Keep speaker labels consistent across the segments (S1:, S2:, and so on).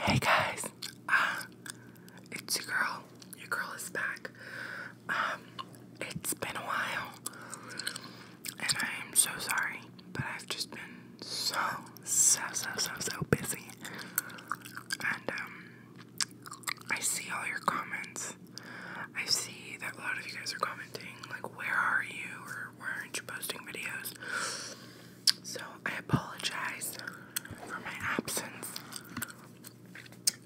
S1: Hey guys, uh, it's your girl. Your girl is back. Um, it's been a while, and I am so sorry, but I've just been so, so, so, so, so busy. And um, I see all your comments. I see that a lot of you guys are commenting, like, where are you, or "Why aren't you posting videos? So I apologize for my absence.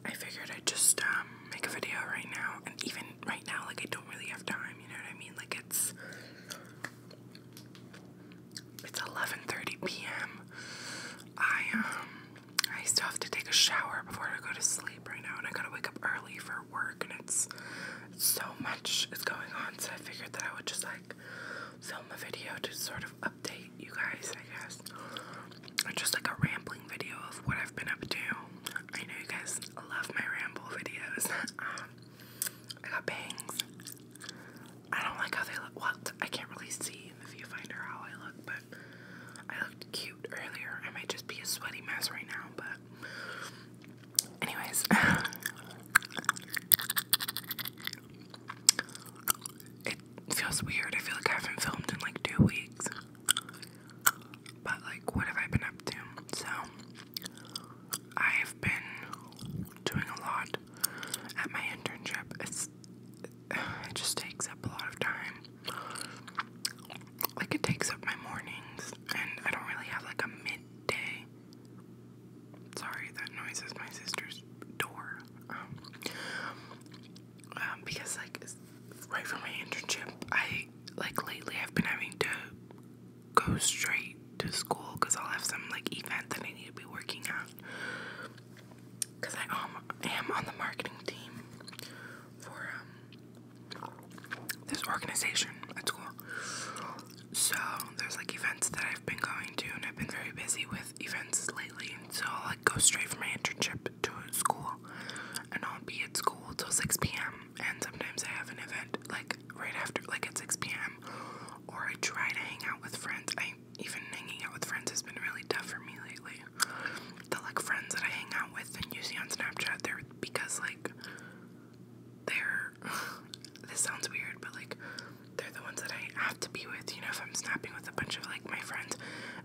S1: I figured I'd just um, make a video right now, and even right now, like I don't really have time. You know what I mean? Like it's it's 11:30 p.m. I um I still have to take a shower before I go to sleep right now, and I gotta wake up early for work, and it's so much is going on. So I figured that I would just like film a video to sort of update you guys, I guess. Or just like a rambling video of what I've been up to. I know you guys love my ramble videos. Um, I got bangs. I don't like how they look. Well, I can't really see in the viewfinder how I look, but I looked cute earlier. I might just be a sweaty mess right now, but anyways. It feels weird. I feel like I haven't filmed in like two weeks. But, like, what have I been up to? So, I have been doing a lot at my internship. it just takes up a lot of time. Like, it takes up my mornings, and I don't really have like a midday Sorry, that noise is my sister's door. Um, um, because like right from my internship, I like lately I've been having to go straight to school because I'll have some like event that I need to be working on. Cause I um, am on the marketing team for um, this organization at school. So there's like events that I've been going to, and I've been very busy with events lately. So I'll like go straight from my internship to school, and I'll be at school till 6 p.m. And sometimes I have an event like right after, like at 6 p.m. Or I try to hang out with friends. I even hanging out with friends has been really tough for me lately. The like friends that I hang out with and you on Snapchat, they're because like they're this sounds weird, but like, they're the ones that I have to be with. You know, if I'm snapping with a bunch of like my friends,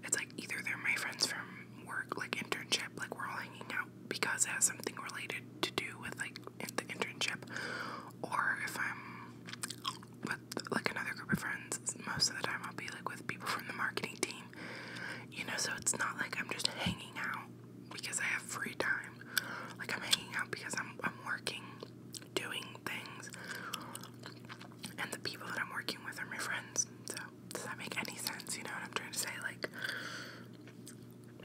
S1: it's like either they're my friends from work, like internship, like we're all hanging out because it has something related to do with like the internship, or if I'm with like another group of friends, most of the time I'll be like with people from the marketing team. You know, so it's not like I'm just hanging out because I have free time. Like I'm hanging out because I'm I'm working doing things, and the people that I'm working with are my friends. So, does that make any sense? You know what I'm trying to say? Like,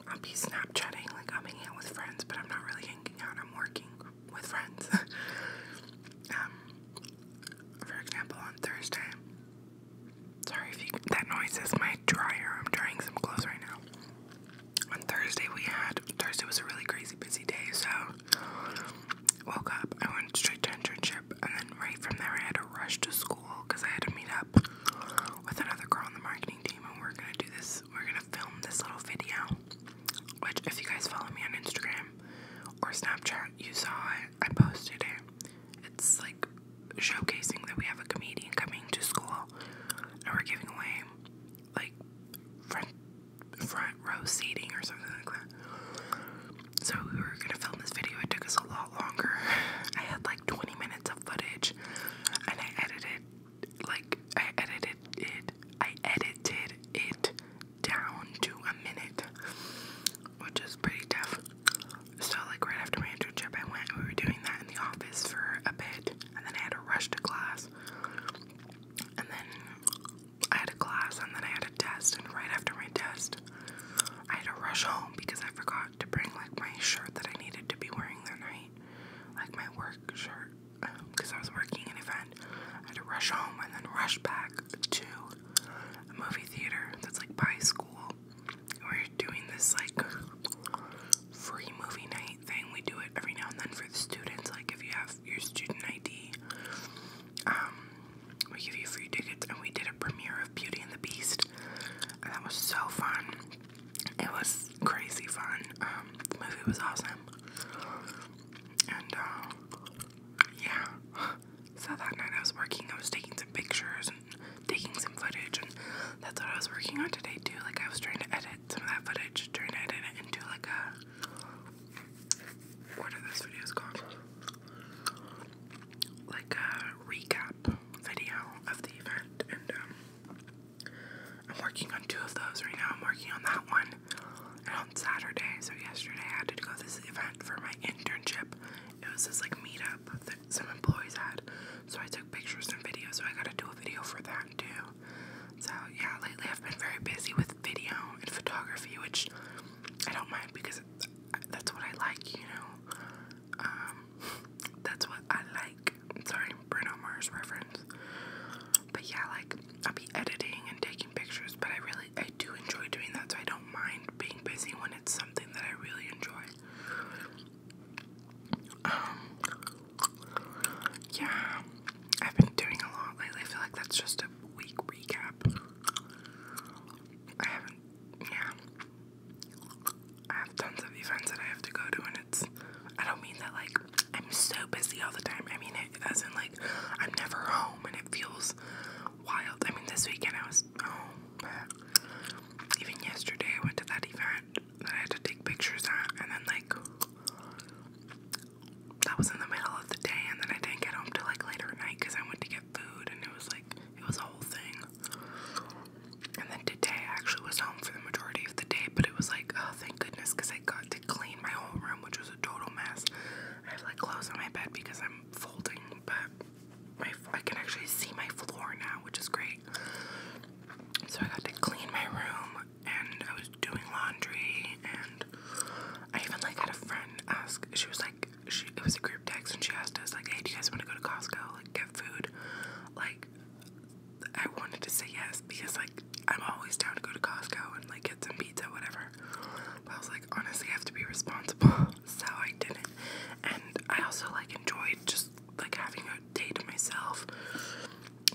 S1: I'll be Snapchatting, like, I'm hanging out with friends, but I'm not really hanging out, I'm working with friends. um, for example, on Thursday, sorry if that noise is my dryer, I'm drying some clothes right now on Thursday we had Thursday was a really crazy busy day, so woke up, I went straight to internship and then right from there I had to rush to school because I had to meet up with another girl on the marketing team and we're gonna do this we're gonna film this little video. Which if you guys follow me on Instagram or Snapchat, you saw it. I posted it. It's like showcasing that we have a comedian coming to school and we're giving away like front front row seating or something like that. So we were gonna film this video. It took us a lot longer. I had like 20 minutes of footage, and I edited like I edited it. I edited it down to a minute, which is pretty tough. So like right after my internship, I went. We were doing that in the office for a bit, and then I had to rush to class. And then I had a class and then I had a test and right after my test I had to rush home because I forgot to bring like my shirt that I needed to be wearing that night. Like my work shirt because um, I was working an event. I had to rush home and then rush back to a movie theater that's like by school. We're doing this like free movie night thing. We do it every now and then for the students. Like if you have your student ID, um, we give you free tickets. And we did a premiere of Beauty and the Beast, that was so fun. It was crazy fun. Um, the movie was awesome. And uh, yeah, so that night I was working. I was taking some pictures and taking some footage, and that's what I was working on today too. Like I was trying to edit some of that footage, turned it into like a what are this videos called? Like a recap video of the event, and um, I'm working on two of those right now. I'm working on that one, and on Saturday, so yesterday I had to go to this event for my internship. It was this like meetup that some employees had, so I took pictures and videos. So I gotta do a video for that too. So yeah, lately I've been very busy with video and photography, which I don't mind because that's what I like, you know. Um, that's what I like. Sorry, Bruno Mars reference. But yeah, like I'll be editing and taking pictures, but I really I do enjoy doing that, so I don't mind being busy when it's something that I really enjoy. Um, yeah, I've been doing a lot lately. I feel like that's just a weak recap. I haven't, yeah. I have tons of events that I have to go to, and it's. I don't mean that like I'm so busy all the time. I mean it as in like I'm never home, and it feels wild. I mean this weekend I was home, even yesterday I went to that event, I had to take pictures at, and then like that was in the middle of the day, and then I didn't get home till like later at night because I went to get food, and it was like it was a whole thing. And then today I actually was home for the majority of the day, but it was like oh thank goodness because I got to clean my whole room, which was a total mess. I have like clothes on my bed because I'm folding, but my I can actually see my floor now, which is great. So I got to clean my room and I was doing laundry, and I even like had a friend ask. She was like, she it was a group text, and she asked us like, "Hey, do you guys want to go to Costco? Like, get food?" Like, I wanted to say yes because like I'm always down to go to Costco and like get some pizza, whatever. But I was like, honestly, I have to be responsible, so I didn't. And I also like enjoyed just like having a day to myself,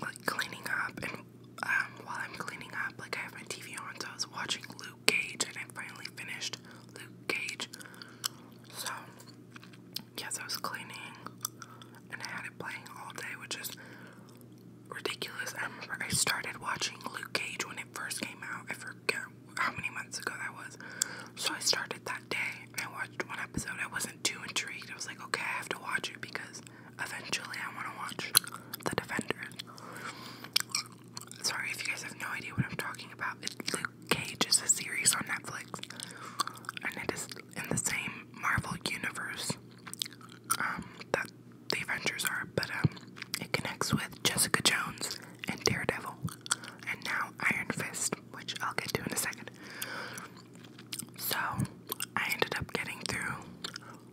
S1: like cleaning up and um, while I'm cleaning up, like I have my TV on, so I was watching Luke Cage, and I finally finished Luke Cage. So, yes, I was cleaning, and I had it playing all day, which is ridiculous. I remember I started watching Luke Cage when it first came out. I forget how many months ago that was. So I started that day, and I watched one episode. I wasn't too intrigued. I was like, okay, I have to watch it because Eventually, I want to watch The Defenders. Sorry if you guys have no idea what I'm talking about. It's Luke Cage is a series on Netflix, and it is in the same Marvel universe um, that the Avengers are. But um, it connects with Jessica Jones and Daredevil, and now Iron Fist, which I'll get to in a second. So I ended up getting through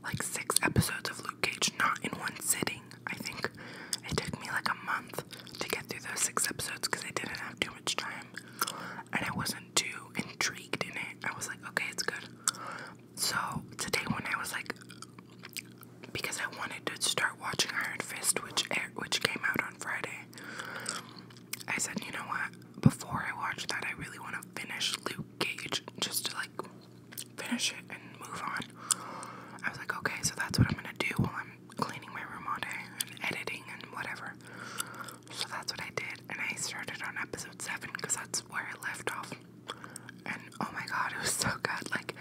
S1: like six episodes of Luke Cage, not in one sitting. I think it took me like a month to get through those six episodes because I didn't have too much time and I wasn't too intrigued in it. I was like, okay, it's good. So today, when I was like, because I wanted to start watching Iron Fist, which which came out on Friday, I said, you know what? Before I watch that, I really want to finish Luke just to like finish it and move on. I was like, okay, so that's what I'm gonna do while I'm cleaning my room all day and editing and whatever. So that's what I did, and I started on episode seven because that's where I left off. And oh my god, it was so good. Like,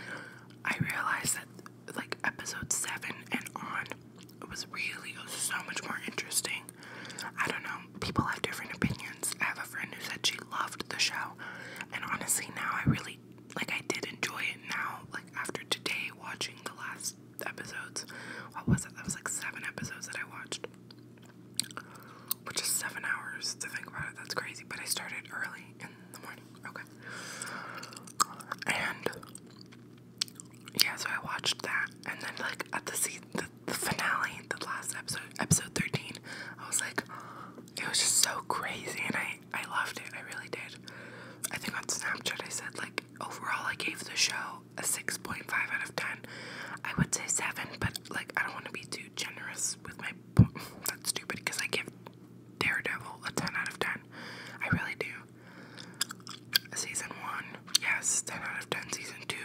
S1: I realized that like episode seven and on, was really so much more interesting I don't know. People have different opinions. I have a friend who said she loved the show, and honestly, now I really like. I did enjoy it now. Like after today, watching the last episodes. What was it? That was like seven episodes that I watched, which is seven hours to think about it. That's crazy. But I started early in the morning. Okay. And yeah, so I watched that, and then like at the se the finale, the last episode, episode 13, I was like, it was just so crazy, and I, I loved it. I really did. I think on Snapchat I said, like, overall, I gave the show a 6.5 out of 10. I would say 7, but, like, I don't want to be too generous with my. That's stupid because I give Daredevil a 10 out of 10. I really do. Season 1, yes, 10 out of 10. Season 2,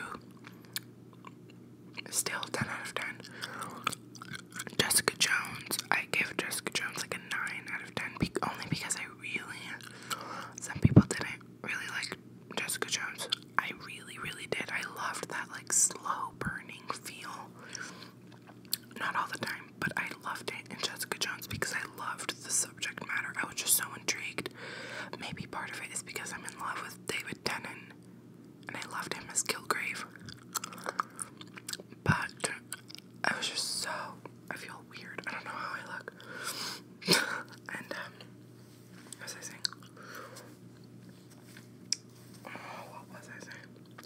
S1: Still 10 out of 10. Jessica Jones. I gave Jessica Jones like a 9 out of 10 only because I really. Some people didn't really like Jessica Jones. I really, really did. I loved that like slow burning feel. Not all the time, but I loved it in Jessica Jones because I loved the subject matter. I was just so intrigued. Maybe part of it is because I'm in love with David Tennant, and I loved him as Kilgrave. But I was just so. I feel weird. I don't know how I look. and, um, what was I saying?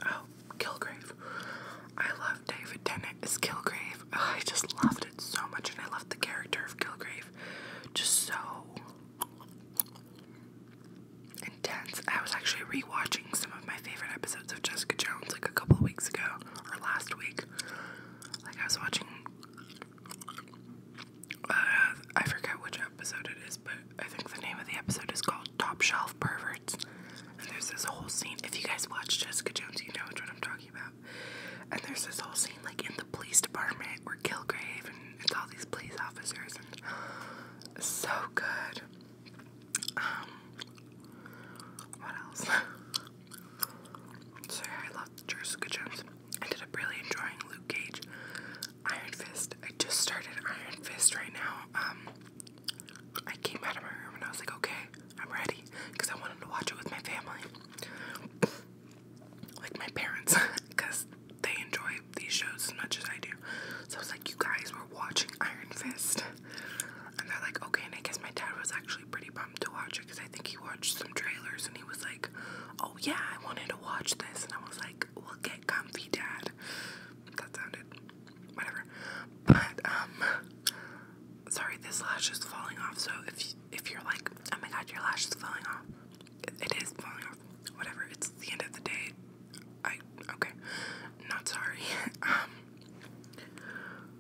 S1: Oh, Kilgrave. Oh, I love David Tennant as Kilgrave. Oh, I just loved it so much, and I loved the character of Kilgrave. Just so intense. I was actually rewatching some of my favorite episodes of Jessica Jones like a couple of weeks ago or last week. Like I was watching uh, I forget which episode it is, but I think the name of the episode is called Top Shelf Perverts. And there's this whole scene. If you guys watch Jessica Jones, you know what I'm talking about. And there's this whole scene like in the police department where Kilgrave and it's all these police officers and so good. Um, what else? so yeah, I loved Jessica Jones. I ended up really enjoying Luke Cage. Iron Fist. I just started Iron Fist right now. Um I came out of my room and I was like, okay, I'm ready because I wanted to watch it with my family like my parents because they enjoy these shows as much as I do. So I was like, you guys were watching Iron Fist. And they're like, okay. And I guess my dad was actually pretty bummed to watch it because I think he watched some trailers and he was like, oh yeah, I wanted to watch this. And I was like, we'll get comfy, dad. That sounded whatever. But, um, sorry, this lash is falling off. So if, if you're like, oh my god, your lash is falling off, it is falling off. Whatever, it's the end of the day. I okay. Not sorry. um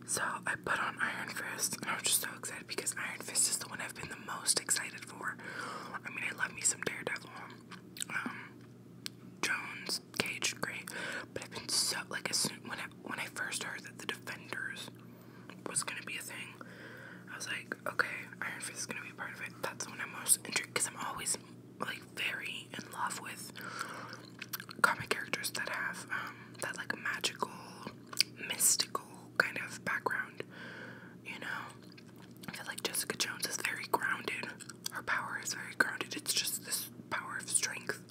S1: so I put on Iron Fist and I was just so excited because Iron Fist is the one I've been the most excited for. I mean I love me some Daredevil. Um Jones, Cage, great. But I've been so like as soon when I when I first heard that the Defenders was gonna be a thing. I was like, okay, Iron Fist is gonna be a part of it. That's when I'm most intrigued because I'm always like very in love with comic characters that have um, that like magical, mystical kind of background. You know, I feel like Jessica Jones is very grounded. Her power is very grounded. It's just this power of strength.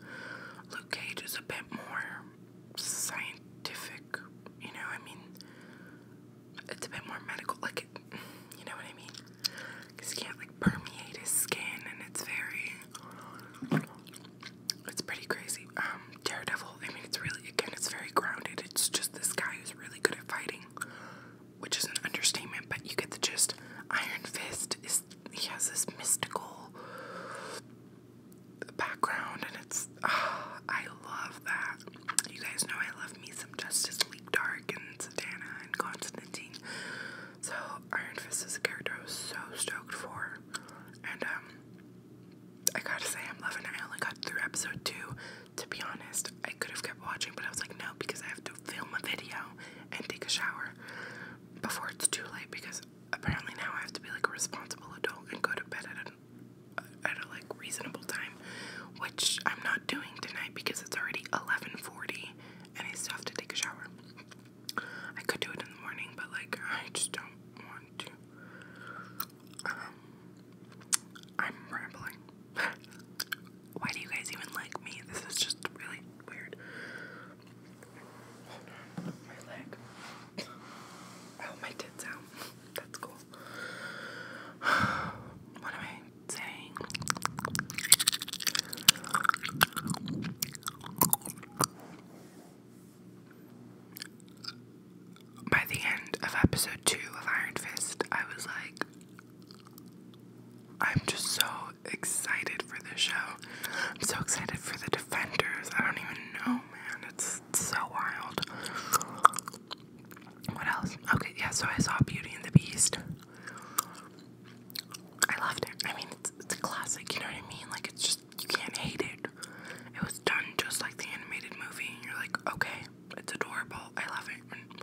S1: Luke Cage is a bit more scientific, you know, I mean, it's a bit more medical, like, it, you know what I mean? Because you can't, like, permeate his skin, and it's very, it's pretty crazy. Um, Daredevil, I mean, it's really, again, it's very grounded. It's just this guy who's really good at fighting, which is an understatement, but you get the gist. Iron Fist is, he has this mystical background, and it's ah, I love that. You guys know I love me some Justice League Dark and Satana and Constantine. So Iron Fist is a character I was so stoked for, and um, I gotta say I'm loving it. I got through episode two. To be honest, I could have kept watching, but I was like, no, because I have to film a video and take a shower before it's too late. Because apparently now I have to be like a responsible adult and go to bed at at a like reasonable time, which I'm not doing tonight because it's already 11:40 and I still have to take a shower. I could do it in the morning, but like I just don't want to. Um, I'm rambling. Why do you guys even like me? This is just really weird. Hold my leg. Oh, my tits out. That's cool. What am I saying? By the end of episode two of Iron Fist, I was like, I'm just so excited for the show. I'm so excited for the Defenders. I don't even know, man. It's so wild. What else? Okay, yeah, so I saw Beauty and the Beast. I loved it. I mean, it's, it's a classic, you know what I mean? Like, it's just, you can't hate it. It was done just like the animated movie. And you're like, okay, it's adorable. I love it. And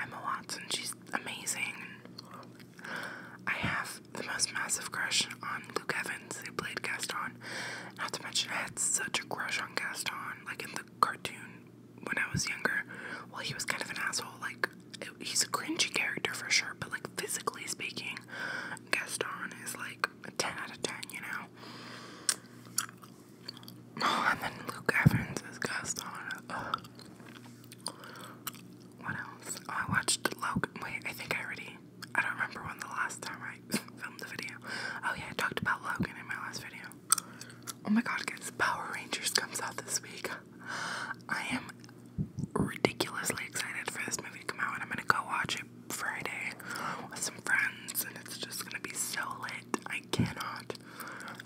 S1: Emma Watson, she's amazing. I have the most massive crush on Luke Evans, who played Gaston not to mention, I had such a crush on Gaston, like in the cartoon when I was younger. Well, he was kind of an asshole. Like, he's a cringy character for sure, but like physically speaking, Gaston is like 10 out of 10, you know? Oh, and then Luke Evans is Gaston. what else? Oh, I watched Logan. Wait, I think I already. I don't remember when the last time I filmed the video. Oh yeah, I talked about Logan in my last video. Oh my god, guys, Power Rangers comes out this week. I am ridiculously excited for this movie to come out and I'm gonna go watch it Friday with some friends and it's just gonna be so lit. I cannot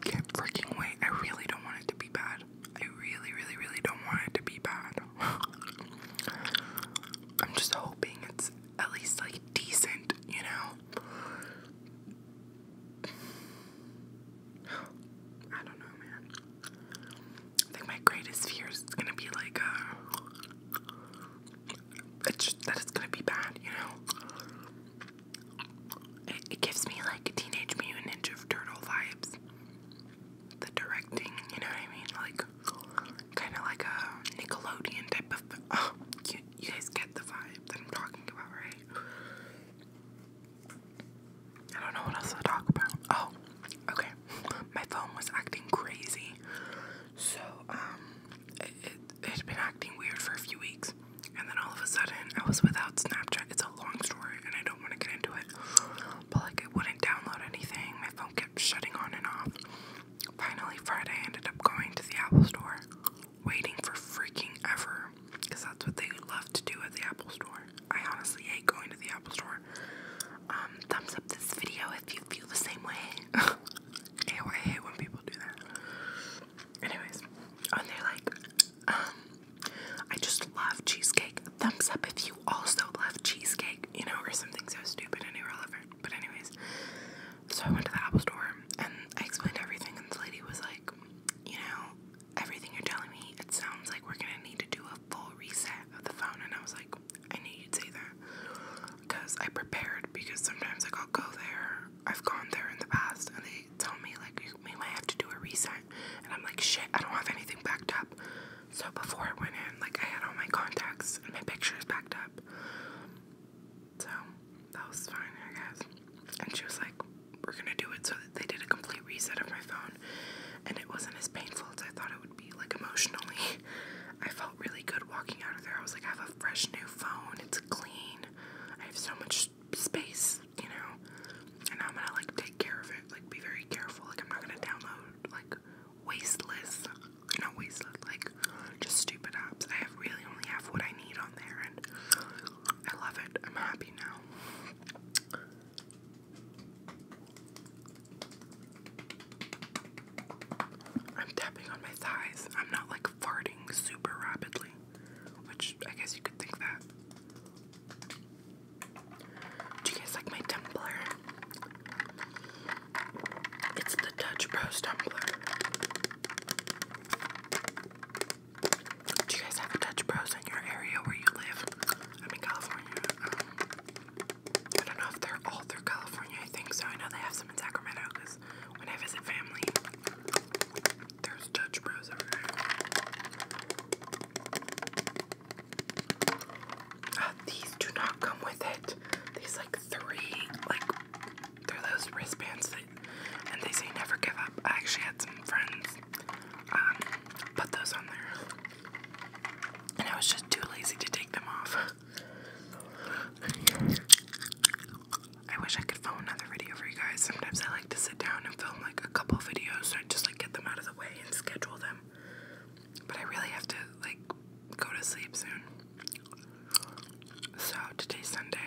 S1: can't freaking wait. I really don't want it to be bad. I really, really, really don't want it to be bad. I'm just hoping it's at least like decent, you know? I don't know, man. I think my greatest fear is gonna be like, uh, it's that it's gonna be bad, you know? It, it gives me like Teenage Mutant Ninja Turtle vibes. The directing, you know what I mean? Like, like kind of like a Nickelodeon type of. Oh, you, you guys get the vibe that I'm talking about, right? I don't know what else to talk about. Oh, okay. My phone was acting crazy, so um, it, it it had been acting weird for a few weeks, and then all of a sudden I was without Snapchat. It's a long story, and I don't want to get into it, but like it wouldn't download anything. My phone kept shutting on and off. Finally, Friday, ended up going to the Apple Store, waiting for freaking ever, because that's what they love to do at the Apple Store. I honestly hate going to the Apple Store. Um, thumbs up this video if you feel the same way. Ew, I hate when people do that. Anyways, and they're like, um, I just love cheesecake. Thumbs up if you also love cheesecake, you know, or something so stupid and irrelevant. But anyways, so I went to the Apple store and I explained everything and the lady was like, you know, everything you're telling me, it sounds like we're gonna need to do a full reset of the phone and I was like, I knew you'd say that. Because I prepared because sometimes like I'll go there, I've gone there in the past and they tell me like we might have to do a reset and I'm like shit, I don't have anything backed up. So before I went in, like I had all my contacts and my pictures backed up. So that was fine, I guess. And she was like, We're gonna do it. So they did a complete reset of my phone, and it wasn't as painful as I thought it would be. Like, emotionally, I felt really good walking out of there. I was like, I have a fresh new phone, it's clean, I have so much space, you know. And I'm gonna like take care of it, like, be very careful. Like, I'm not gonna download like wasteless, not wasteless, like just stupid apps. I have really only have what I need on there, and I love it. I'm happy now. I'm tapping on my thighs. I'm not like farting super rapidly, which I guess you could think that. Do you guys like my Tumblr? It's the Dutch Bros tumbler. Do you guys have Dutch Bros in your area where you live? I'm in California. Um, I don't know if they're all through California, I think so. I know they have some in Sacramento because when I visit family, there's Dutch Bros everywhere. Uh, these do not come with it these like three, like they those wristbands and they say never give up. I actually had some friends um, put those on there, and I was just too lazy to take them off. I wish I could film another video for you guys. Sometimes I like to sit down and film like a couple videos so I just like get them out of the way and schedule them. But I really have to like go to sleep soon. So today's Sunday.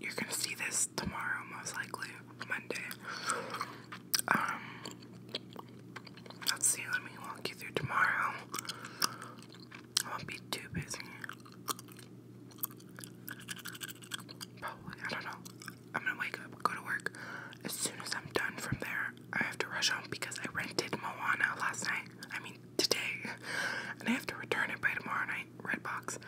S1: You're gonna see this tomorrow, most likely Monday. Um, let's see. Let me walk you through tomorrow. I won't be too busy. Probably. I don't know. I'm gonna wake up, go to work. As soon as I'm done from there, I have to rush home because I rented Moana last night. I mean today, and I have to return it by tomorrow night, Redbox.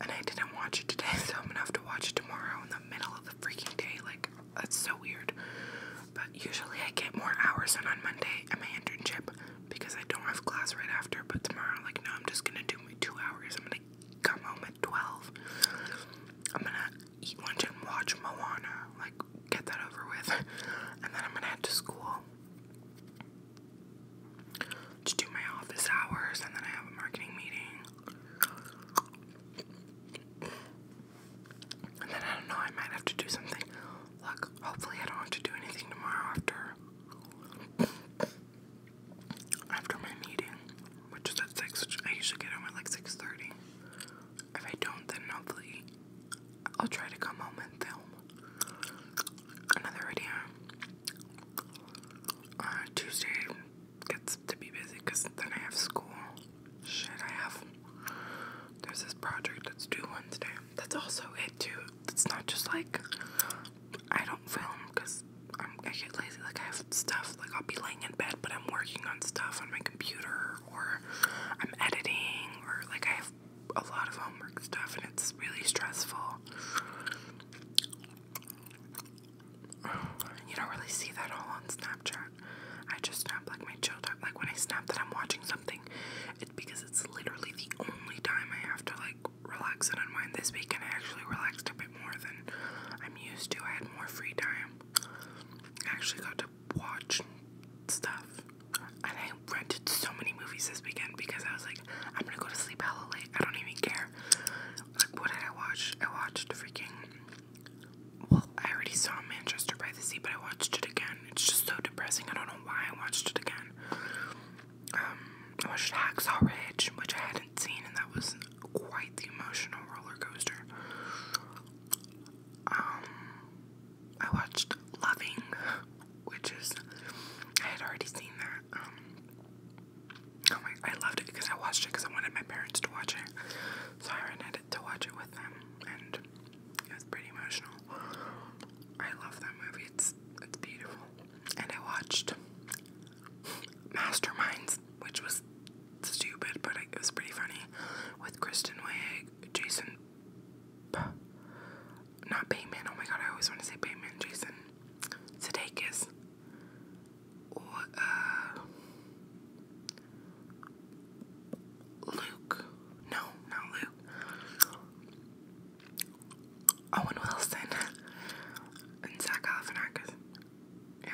S1: and I didn't watch it today, so I'm gonna have to watch it tomorrow in the middle of the freaking day. Like, that's so weird. But usually I get more hours in on Monday at my internship because I don't have class right after. But tomorrow, like, no, I'm just gonna do my two hours. I'm gonna come home at 12. I'm gonna eat lunch and watch Moana. Like, get that over with. And then I'm gonna head to school to do my office hours, and then I have a marketing meeting. And then I don't know, I might have to do something. Look, hopefully, I don't have to do anything tomorrow after. After my meeting, which is at six, I usually get home at like six thirty. If I don't, then hopefully I'll try to come home and film another video. Uh, Tuesday gets to be busy because then I have school. Shit, I have. There's this project that's due Wednesday. That's also it, too. It's not just like I don't film because I get lazy. Like, I have stuff. Like, I'll be laying in bed, but I'm working on stuff on my computer or I'm editing or like I have a lot of homework stuff, and it's really stressful. You don't really see that all on Snapchat. I just snap like my children. Like when I snap that I'm watching something, it's because it's literally the only time I have to like relax and unwind. This weekend I actually relaxed a bit more than I'm used to. I had more free time. I actually got to watch stuff. And I rented so many movies this weekend because I was like, I'm gonna go to sleep hella late. I don't even care. Like, what did I watch? I watched freaking. Well, I already saw Manchester by the Sea, but I watched it again. It's just so depressing. I don't know why I watched it again. Um, I watched Hacksaw Ridge, which I hadn't seen, and that was quite the emotional roller coaster. I watched Loving, which is, I had already seen that, um, oh my, I loved it because I watched it because I wanted my parents to watch it, so I rented it to watch it with them, and it was pretty emotional, I love that movie, it's, it's beautiful, and I watched Masterminds, which was stupid, but it was pretty funny, with Kristen Wiig, Jason not Bateman. Oh my god, I always want to say Bateman. Jason Sudeikis. Uh, Luke. No, not Luke. Owen Wilson. and Zach Galifianakis. Yeah.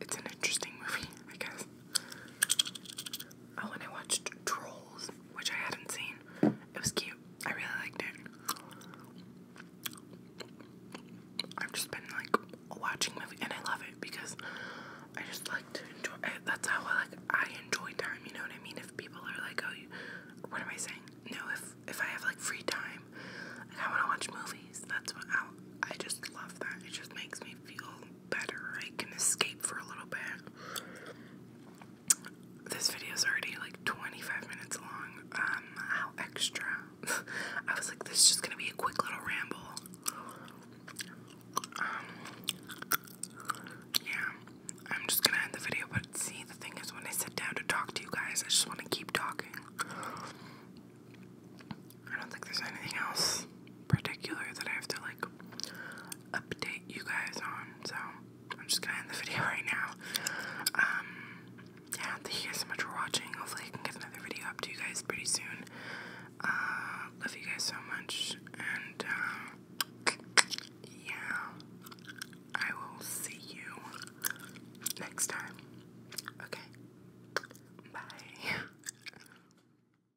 S1: It's an interesting movie, I guess. Oh, and I watched Trolls, which I hadn't seen. It was cute. I really liked it. I've just been like watching movies, and I love it because I just like to enjoy. Eh, that's how I like I enjoy time. You know what I mean? If people are like, "Oh, you, what am I saying?" No, if if I have like free time, like I want to watch movies. That's what I, I just love that. It just makes me feel better. I can escape for a little bit. This video is already like 25 minutes long. Um, how extra. I was like, this is just gonna be a quick little ramble. Um, yeah. I'm just gonna end the video, but see, the thing is, when I sit down to talk to you guys, I just wanna keep talking. I don't think there's anything else particular that I have to like update you guys on. So I'm just gonna end the video right now. Um, yeah, thank you guys so much for watching. Hopefully, I can get another video up to you guys pretty soon. Uh, love you guys so much, and uh, yeah, I will see you next time. Okay, bye.